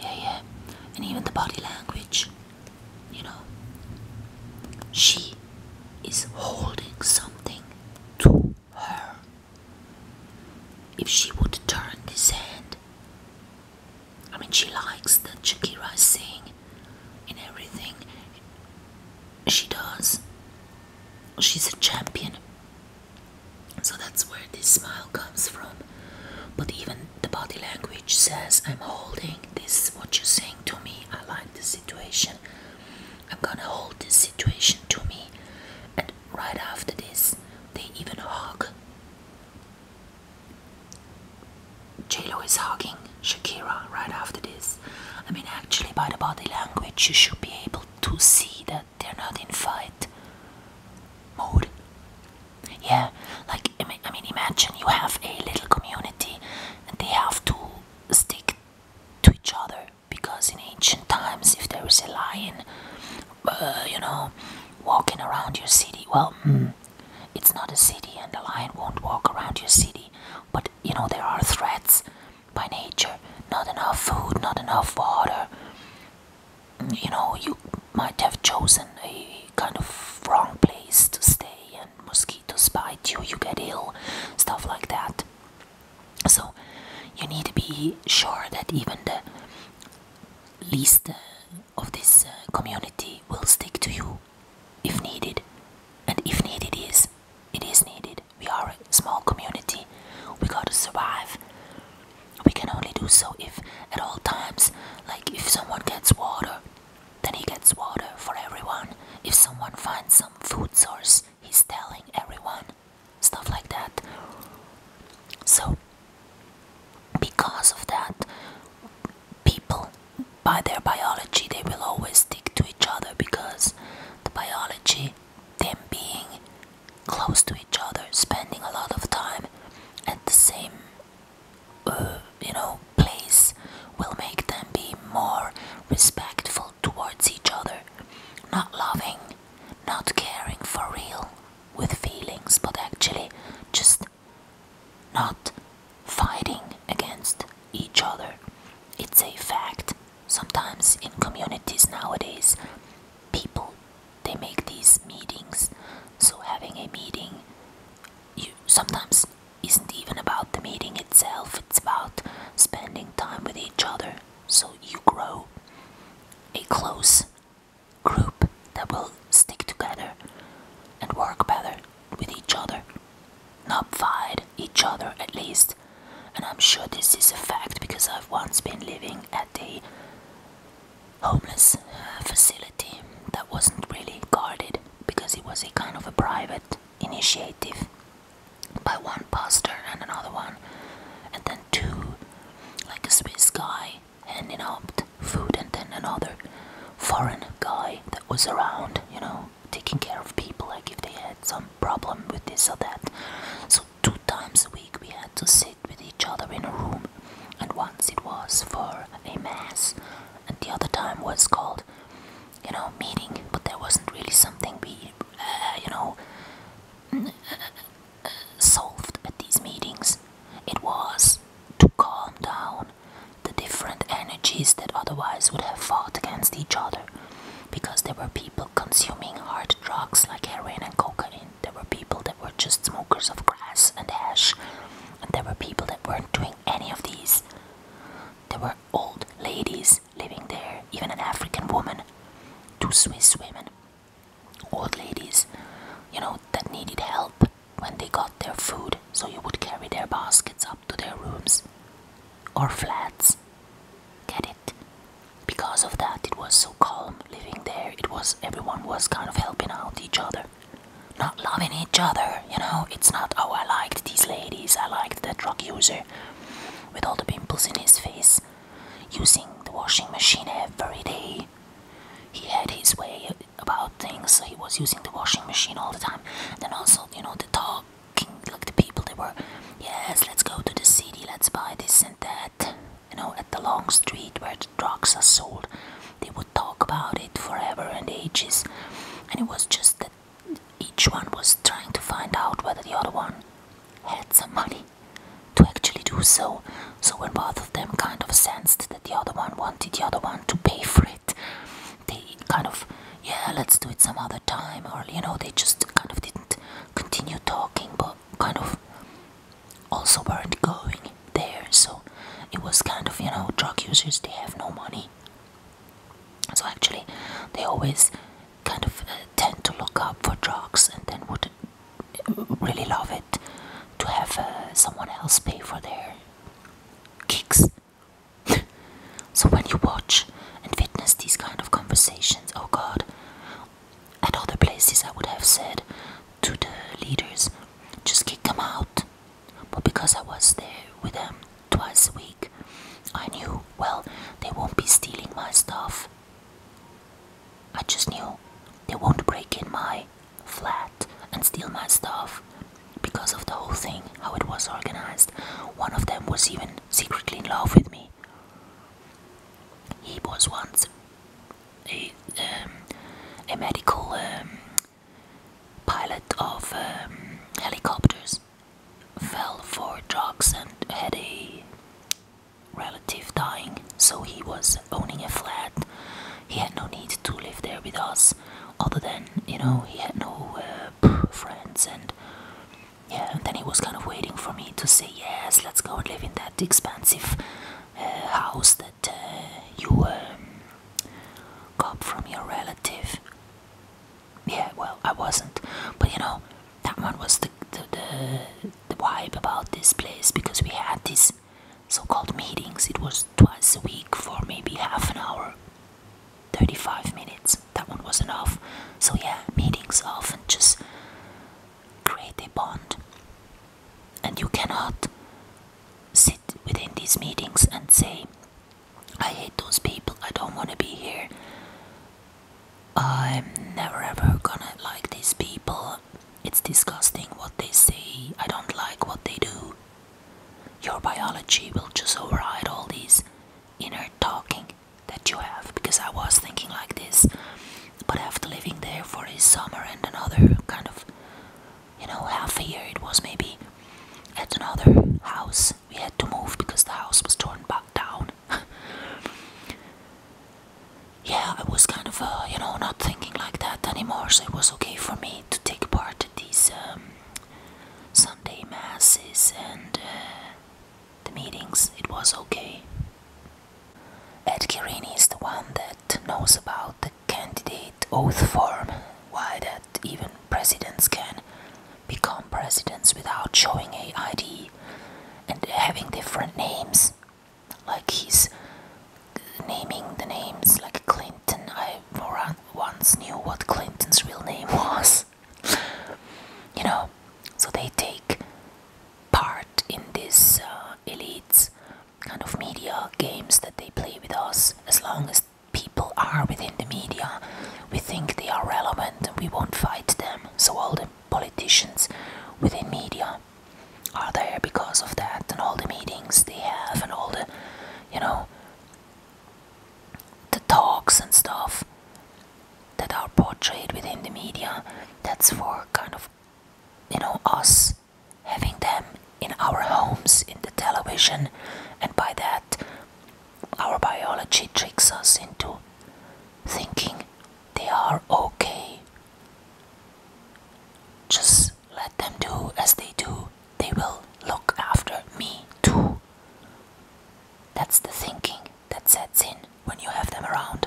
Yeah, yeah. And even the body language. You know, she is holding something to her. If she would turn this hand, I mean, she likes that Shakira is saying in everything she does. She's a champion. So that's where this smile comes from. But even the body language says, I'm holding this, what you're saying to me. I like the situation. I'm gonna hold this situation to me. And right after this, they even hug. JLo is hugging Shakira right after this. I mean, actually, by the body language, you should be able to see that they're not in fight mode. Yeah, like I mean, imagine you have a little community, and they have to stick to each other because in ancient times, if there was a lion, uh, you know, walking around your city, well, hmm, it's not a city, and the lion won't walk around your city. But you know, there are threats by nature: not enough food, not enough water you know, you might have chosen a kind of wrong place to stay, and mosquitoes bite you, you get ill, stuff like that. So, you need to be sure that even the least uh, of this uh, community will stick to you if needed. And if needed is, it is needed. We are a small community, we gotta survive we can only do so if at all times like if someone gets water then he gets water for everyone if someone finds some food source he's telling everyone stuff like that so because of that people by their biology they will always stick to each other because the biology them being close to each other, spending a lot of time at the same, uh, you know, place will make them be more respectful towards each other, not loving, not caring for real with feelings, but actually just not fighting against each other. It's a fact. Sometimes in communities nowadays, people they make these meetings. So having a meeting, you sometimes isn't even about the meeting itself. It's about spending time with each other. So you grow a close group that will stick together and work better with each other, not fight each other at least. And I'm sure this is a fact because I've once been living at the homeless uh, facility that wasn't really guarded because it was a kind of a private initiative by one pastor and another one, and then two, like a Swiss guy handing out food, and then another foreign guy that was around, you know, taking care of people like if they had some problem with this or that. So two times a week we had to sit with each other in a room, and once it was for a mass, and the other time was called, you know, meeting, but there wasn't really something we, uh, you know, mm, uh, solved at these meetings. It was to calm down the different energies that otherwise would have fought against each other because there were people consuming hard drugs like heroin and cocaine there were people that were just smokers of grass and hash, and there were people that weren't doing any of these. There were old ladies living there, even an African woman, two Swiss women, old ladies, you know, that needed help when they got their food, so you would carry their baskets up to their rooms or flats. Get it? because of that it was so calm living there it was everyone was kind of helping out each other not loving each other you know it's not oh i liked these ladies i liked that drug user with all the pimples in his face using the washing machine every day he had his way about things so he was using the washing machine all the time and then also you know the talking like the people they were yes let's go to the city let's buy this and that you know, at the long street where the drugs are sold. They would talk about it forever and ages, and it was just that each one was trying to find out whether the other one had some money to actually do so. So, when both of them kind of sensed that the other one wanted the other one to pay for it, they kind of, yeah, let's do it some other time, or you know, they just kind of didn't continue talking, but kind of also weren't going there, so it was kind of you know drug users they have no money, so actually they always kind of uh, tend to look up for drugs and then would really love it to have uh, someone else pay for their kicks. so when you watch and witness these kind of conversations, oh God. At other places, I would have said to the leaders, just kick them out. But because I was there with them twice a week, I knew, well, they won't be stealing my stuff. I just knew they won't break in my flat and steal my stuff because of the whole thing, how it was organized. One of them was even secretly in love with me. He was once a, um, a medical um, pilot of um, helicopters fell for drugs and had a relative dying, so he was owning a flat. He had no need to live there with us, other than, you know, he had no uh, friends and. Yeah, and then he was kind of waiting for me to say yes, let's go and live in that expensive uh, house that uh, you um, got from your relative. Yeah, well, I wasn't, but you know, that one was the the, the the vibe about this place because we had these so-called meetings. It was twice a week for maybe half an hour, thirty-five minutes. That one was enough. So yeah, meetings often just create a bond. And you cannot sit within these meetings and say, I hate those people, I don't want to be here, I'm never ever gonna like these people, it's disgusting what they say, I don't like what they do. Your biology will just override all these inner talking that you have because I was thinking like this but after living there for a summer and another kind of, you know, half a year, it was maybe at another house. We had to move because the house was torn back down. yeah, I was kind of, uh, you know, not thinking like that anymore, so it was okay for me to take part in these um, Sunday masses and uh, the meetings. It was okay. Ed Kirini is the one that knows about the candidate oath form, why that even presidents can become presidents without showing a ID and having different names. Like he's naming the names like Clinton. I once knew what Clinton's real name was. you know, so they take part in this. Uh, elites kind of media games that they play with us as long as people are within the media we think they are relevant and we won't fight them so all the politicians within media are there because of that and all the meetings they have and all the you know the talks and stuff that are portrayed within the media that's for kind of you know us having them in our homes in the television and by that our biology tricks us into thinking they are okay just let them do as they do they will look after me too that's the thinking that sets in when you have them around